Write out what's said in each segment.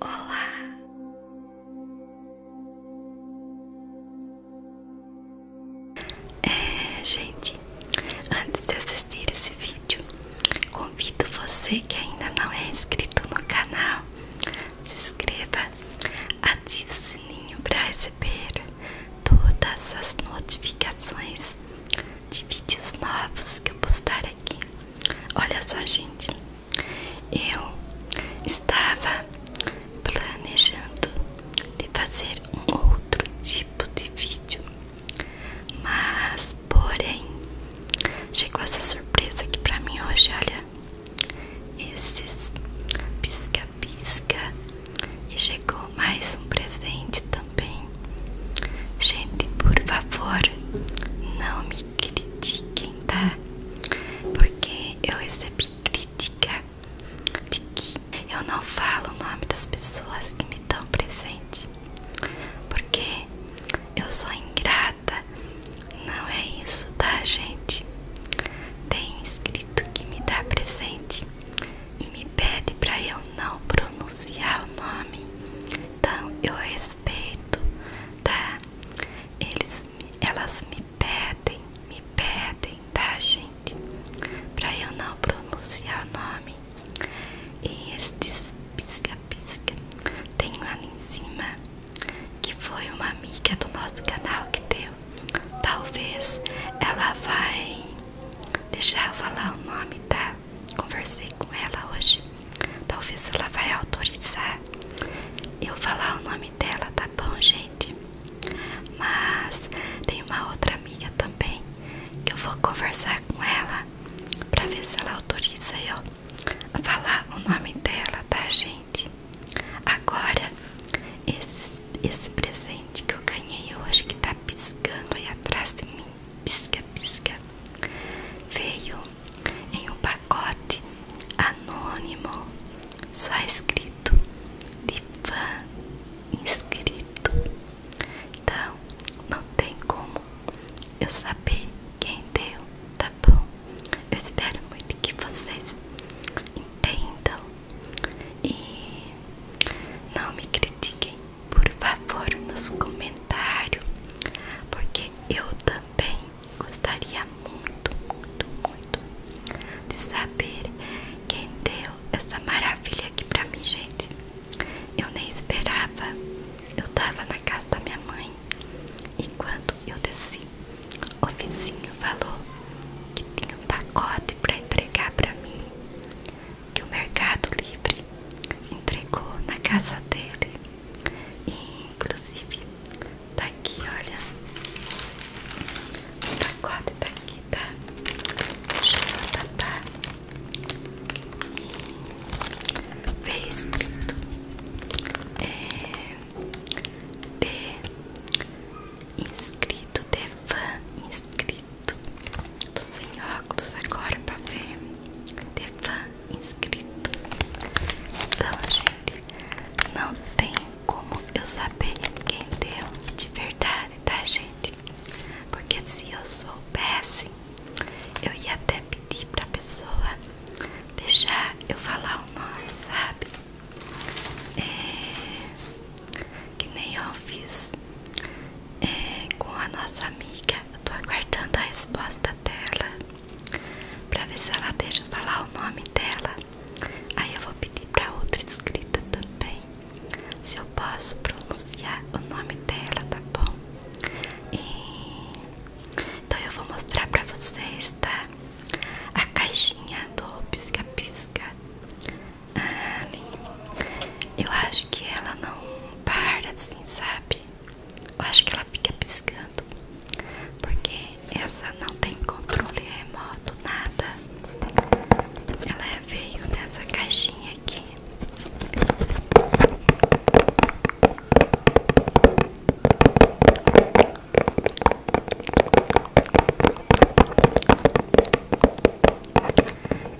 Olá. É, gente, antes de assistir esse vídeo, convido você que ainda não é inscrito no canal, se inscreva, ative o sininho para receber todas as notificações de vídeos novos que eu postar aqui. Olha só, gente, eu estava planejando de fazer um outro tipo de vídeo, mas porém chegou essa surpresa aqui pra mim hoje. Olha, esses pisca-pisca, e chegou mais um presente também Gente, por favor, não me critiquem, tá? Porque eu recebi crítica de que eu não falo o nome das pessoas que me dão presente. Porque eu sou ingrata. Não é isso, tá, gente? Tem escrito que me dá presente e me pede para eu não pronunciar o nome. Então eu respeito, tá? Eles, elas me pedem, me pedem, tá, gente? Pra eu não pronunciar o nome. E estes pisca-pisca tenho um ali em cima que foi uma amiga do nosso canal que deu. Talvez ela vai deixar eu falar o nome, tá? Conversei com ela hoje. Talvez ela vai autorizar eu falar o nome dela, tá bom, gente? Mas tem uma outra amiga também que eu vou conversar com ela para ver se ela autoriza eu falar o nome dela, tá, gente? Agora esse, esse presente que eu ganhei hoje que tá piscando aí atrás de mim pisca, pisca, veio em um pacote anônimo, só escrito de fã inscrito. Então, não tem como eu saber quem deu, tá bom? Eu espero muito que vocês entendam e não me critiquem por favor nos comentários, porque eu também gostaria muito, muito, muito de saber quem deu essa maravilha aqui pra mim, gente. Eu nem esperava, eu tava na casa da minha mãe e quando eu desci, o vizinho falou que tinha um pacote pra entregar pra mim que o Mercado Livre entregou na casa dele. inclusive, tá aqui, olha. O tá, pacote tá aqui, tá? Deixa eu só tapar. E veio escrito é, de inscrito, de fã inscrito bonito. tô sem óculos agora pra ver. Devan inscrito. Então, gente, não tem como eu saber quem deu de verdade, tá, gente? Porque se eu soubesse, eu ia até pedir pra pessoa deixar eu falar o nome, sabe? É que nem eu fiz é, com a nossa amiga. Eu tô aguardando a resposta dela pra ver se ela deixa falar o nome dela. Aí eu vou pedir pra outra inscrita também se eu posso pronunciar o nome dela, tá bom? Então eu vou mostrar pra vocês, tá? A caixinha do pisca-pisca Ali. Eu acho que ela não para assim, sabe? Eu acho que ela fica piscando. Porque essa não tem controle remoto, nada. Ela veio nessa caixinha aqui.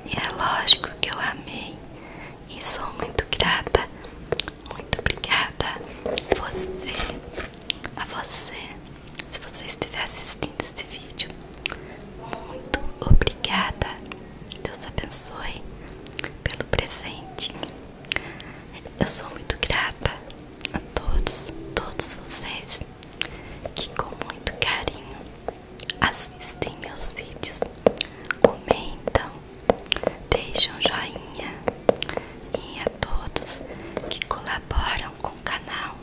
E é lógico que eu amei e sou muito grata, muito obrigada a você, a você, se você estiver assistindo este vídeo, muito obrigada, Deus abençoe pelo presente. Eu sou muito grata a todos, todos vocês que com muito carinho assistem meus vídeos, comentam, deixam joinha e a todos que colaboram com o canal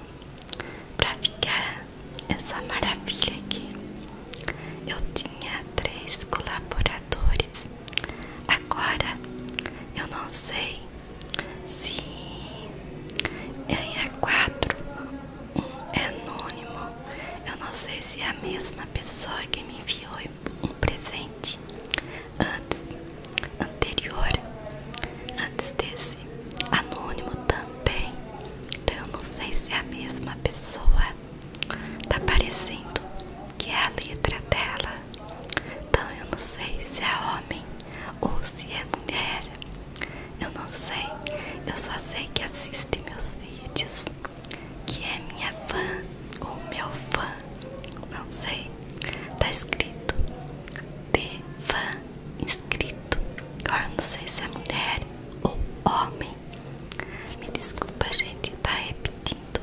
para ficar essa maravilha aqui. Eu tinha três colaboradores, agora eu não sei se eu é quatro um anônimo. Eu não sei se é a mesma pessoa que me enviou um presente antes, anterior, antes desse anônimo também. Então eu não sei se é a mesma pessoa. Tá parecendo que é a letra dela. Então eu não sei se é homem ou se é mulher. Eu não sei, eu só sei que assiste meus vídeos, que é minha fã ou meu fã, não sei. Tá escrito de fã inscrito. Agora não sei se é mulher ou homem. Me desculpa, gente, tá repetindo.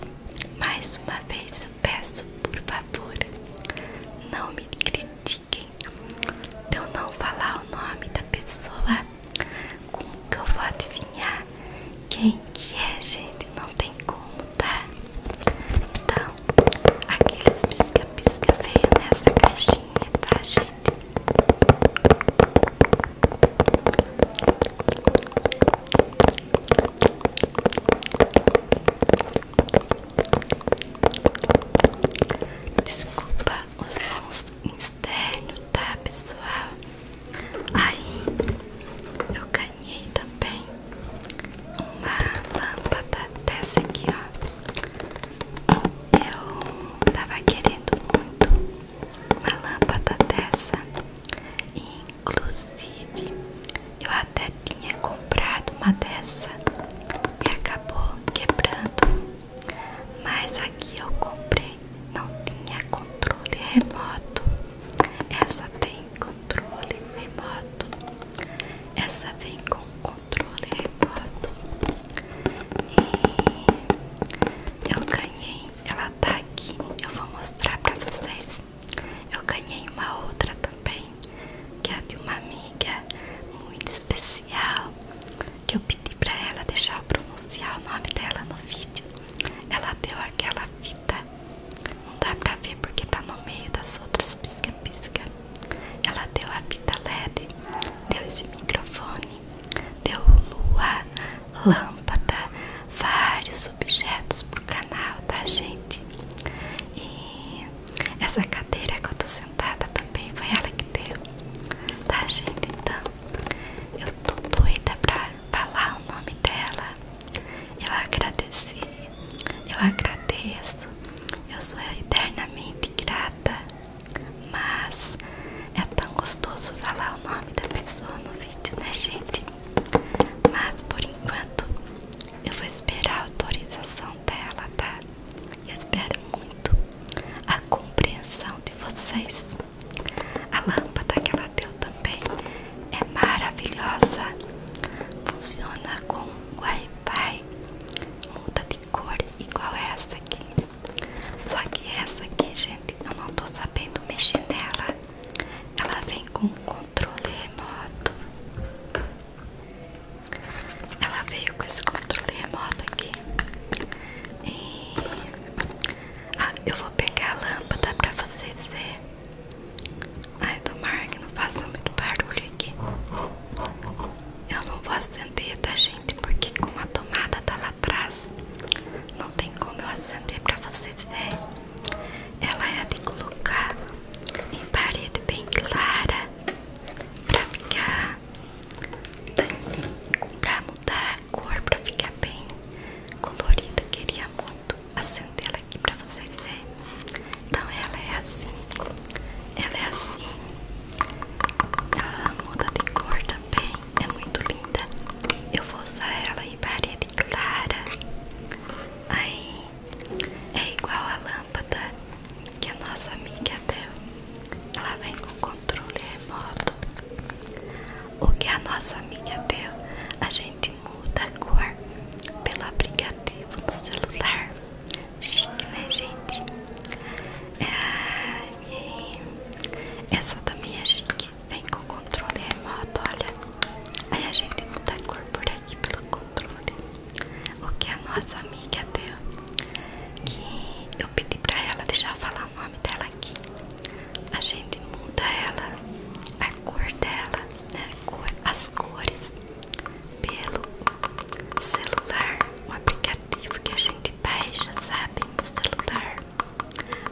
Mais uma vez eu peço, por favor, não me critiquem assim: se eu não falar o nome da pessoa, como que eu vou adivinhar quem que é, gente? Não tem como, tá? Então, aqueles pisca-pisca veio nessa caixinha, tá, gente? Desculpa os sons externos, tá pessoal? Aí eu ganhei também uma lâmpada dessa aqui, ó. Eu tava querendo muito uma lâmpada dessa, inclusive eu até tinha comprado uma dessa e acabou quebrando. Mas aqui eu comprei, não tinha controle remoto. Essa tem controle remoto. Essa vem com controle remoto. E eu ganhei, ela tá aqui. Eu vou mostrar pra vocês. Eu ganhei uma outra também que é de uma amiga muito especial, que eu pedi para ela deixar eu pronunciar o nome dela no vídeo. Ela deu aquela fita, não dá pra ver porque tá no meio das outras pisca-pisca. Ela deu a fita LED, deu esse microfone, deu lua, lâmpada, vários objetos pro canal, tá, gente? E essa cadeira que eu tô sentada também foi ela que deu. Tá, gente? Então, eu tô doida pra falar o nome dela. Eu agradeci, eu agradeço, eu sou eternamente grata. Mas é tão gostoso falar o nome da pessoa no vídeo, né, gente? Mas por enquanto eu vou esperar a autorização dela, tá? E espero muito a compreensão de vocês. A lâmpada que ela deu também é maravilhosa. Funciona com Wi-Fi. Muda de cor igual essa aqui. Só que essa aqui, gente, eu não tô sabendo mexer nela. Ela vem com controle remoto. Ela veio com esse controle remoto aqui. E ah, eu vou pegar a lâmpada pra vocês verem. Ai, tomara que não faça muito barulho aqui. Eu não vou acender, tá, gente? Porque como a tomada tá lá atrás, não tem como eu acender pra vocês verem. Ela é de colocar em parede bem clara para ficar para mudar a cor, para ficar bem colorida. Queria muito acender ela aqui para vocês verem. Então ela é assim. Ela é assim. Ela muda de cor também. É muito linda. Eu vou usar ela em parede clara. Aí é igual a lâmpada que a nossa amiga deu. Ela vem com controle remoto. O que a nossa amiga deu, a gente muda a cor pelo aplicativo no celular. Chique, né, gente? Ah, essa também é chique. Vem com controle remoto, olha. Aí a gente muda a cor por aqui pelo controle. O que a nossa amiga deu. Que eu pedi pra ela, deixar eu falar o nome dela aqui. A gente muda ela, a cor dela, né? Cor, as cores pelo celular, um aplicativo que a gente beija sabe? No celular.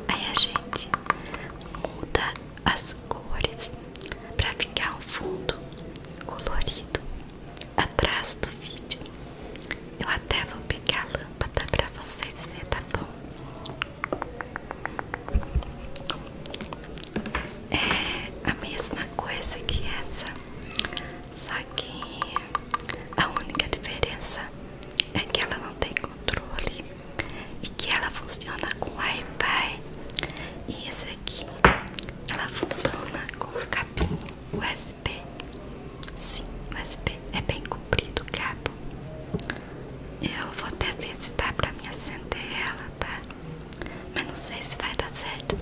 Aí a gente muda as cores para ficar um fundo colorido atrás do vídeo. Eu até vou pegar a lâmpada para vocês verem, tá bom? É a mesma coisa que essa, só que a única diferença é que ela não tem controle e que ela funciona com Wi-Fi e esse aqui ela funciona com cabo USB sim USB é bem comprido o cabo eu vou até ver se dá pra me acender tá mas não sei se vai dar certo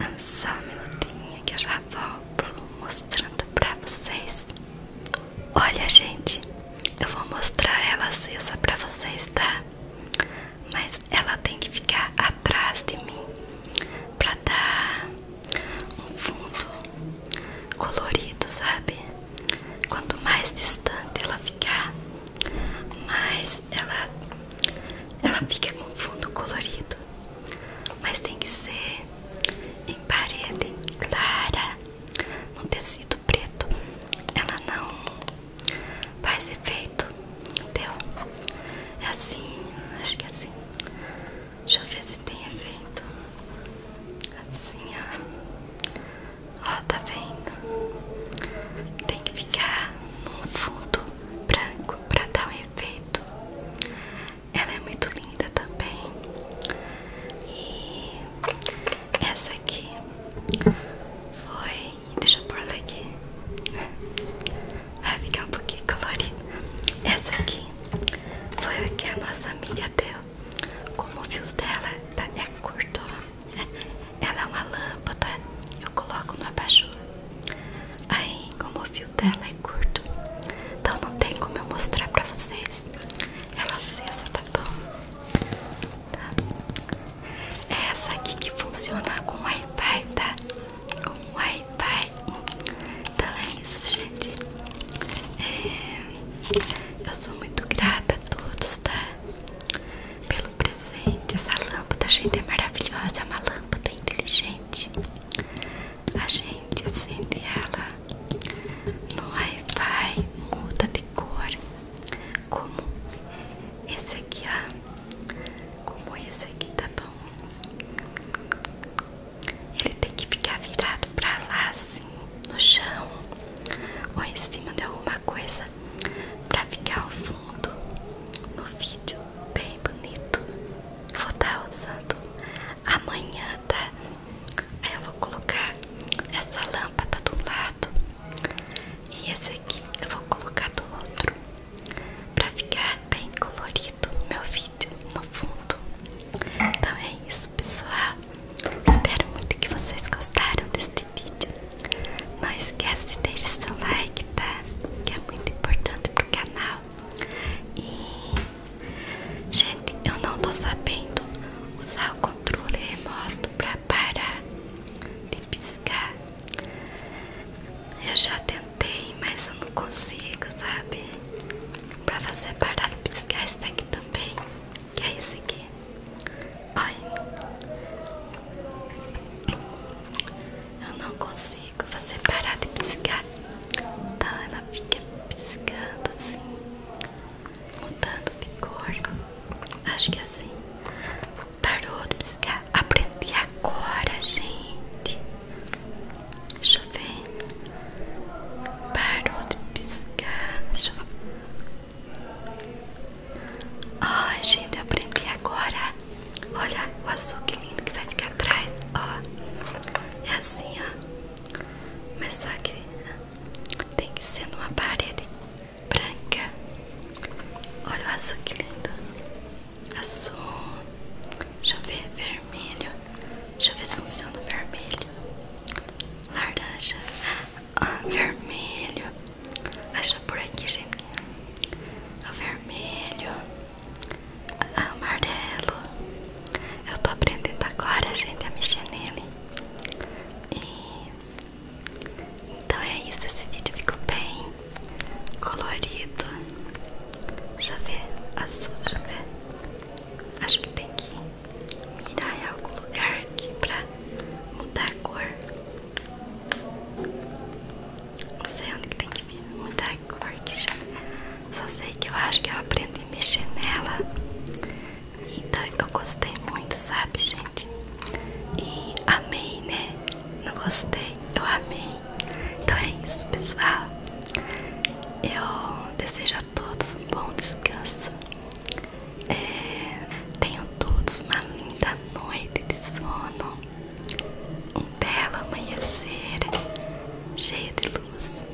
ah, só um minutinho que eu já volto mostrando pra vocês Olha, gente, eu vou mostrar ela acesa pra vocês, tá? Mas ela tem que ficar atrás de mim pra dar um fundo colorido, sabe? Quanto mais distante ela ficar, mais ela, ela fica com fundo colorido. Mas tem que ser em parede clara no tecido preto, ela não faz efeito, entendeu? É assim, acho que é assim. Deixa eu ver se tem efeito. Assim, ó. Ó, tá vendo? Tem que ficar num fundo branco pra dar um efeito. Ela é muito linda também. E essa aqui foi. Deixa eu pôr ela aqui. Vai ficar um pouquinho colorida. Essa aqui foi o que a nossa amiga deu. Como o fios dela tá, é curto. Ela é uma lâmpada. Eu coloco no abajur. Aí, como o fio dela curto, então não tem como eu mostrar pra vocês. Ela acessa, tá bom? É essa aqui que funciona com Wi-Fi, tá? Com Wi-Fi. Então é isso, gente. É, eu sou muito grata a todos, tá? Pelo presente. Essa lâmpada, gente, é maravilhosa. É uma lâmpada inteligente. A gente acende ela no Wi-Fi, muda de cor, como esse aqui, ó. Como esse aqui, tá bom? Ele tem que ficar virado pra lá, assim, no chão ou em cima de alguma coisa pra ficar ao fundo no vídeo bem bonito. Vou estar tá usando amanhã, tá? Aí eu vou colocar essa lâmpada do lado e esse aqui eu vou colocar do outro para ficar bem colorido meu vídeo no fundo. Então é isso, pessoal. Espero muito que vocês gostaram deste vídeo. Não esquece de deixar seu like, tá? Que é muito importante pro canal. E gente, eu não tô sabendo usar o controle remoto para parar de piscar. Eu já tentei, mas eu não consigo, sabe? Para fazer parar de piscar esse daqui também. Que é esse aqui. Olha. Eu não consigo consigo fazer parar de piscar. Então ela fica piscando assim, mudando de cor. Acho que é assim. Parou de piscar. Aprendi agora, gente. Deixa eu ver. Parou de piscar. Deixa eu ver. Ai, gente, aprendi agora. Olha o azul que lindo que vai ficar atrás. Ó, é assim, ó. Mas só que tem que ser numa parede branca. Olha o azul que lindo. Azul. Deixa eu ver vermelho. Deixa eu ver se funciona o vermelho. Laranja. Ah, vermelho. Acha por aqui, gente. É o vermelho amarelo. Eu tô aprendendo agora, gente, a mexer nele. Então é isso, esse vídeo ficou bem colorido. Deixa eu ver, azul, deixa eu ver. Acho que tem que mirar em algum lugar aqui pra mudar a cor. Não sei onde que tem que muita mudar cor que já. É. Só sei que eu acho que eu aprendi a mexer nela. Então eu gostei muito, sabe, gente? E amei, né? Não gostei, eu amei. Então é isso, pessoal. Eu desejo a todos um bom descanso. É, tenham todos uma linda noite de sono. Um belo amanhecer, cheio de luz,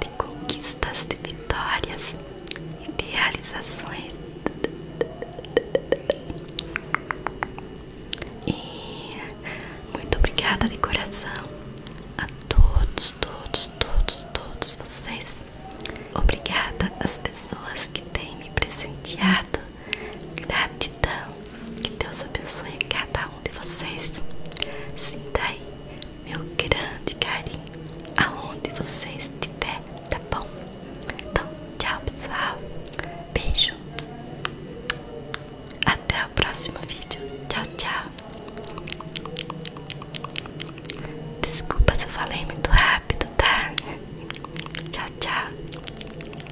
de conquistas, de vitórias e de realizações. E muito obrigada de coração a todos, todos, todos, todos vocês. Obrigada às pessoas que têm me presenteado Gratidão. Que Deus abençoe cada um de vocês. Sinta aí meu grande carinho aonde vocês estiver, tá bom? Então, tchau, pessoal. Beijo. Até o próximo vídeo. Tchau, tchau. Desculpa se eu falei muito rápido, tá? Tchau, tchau.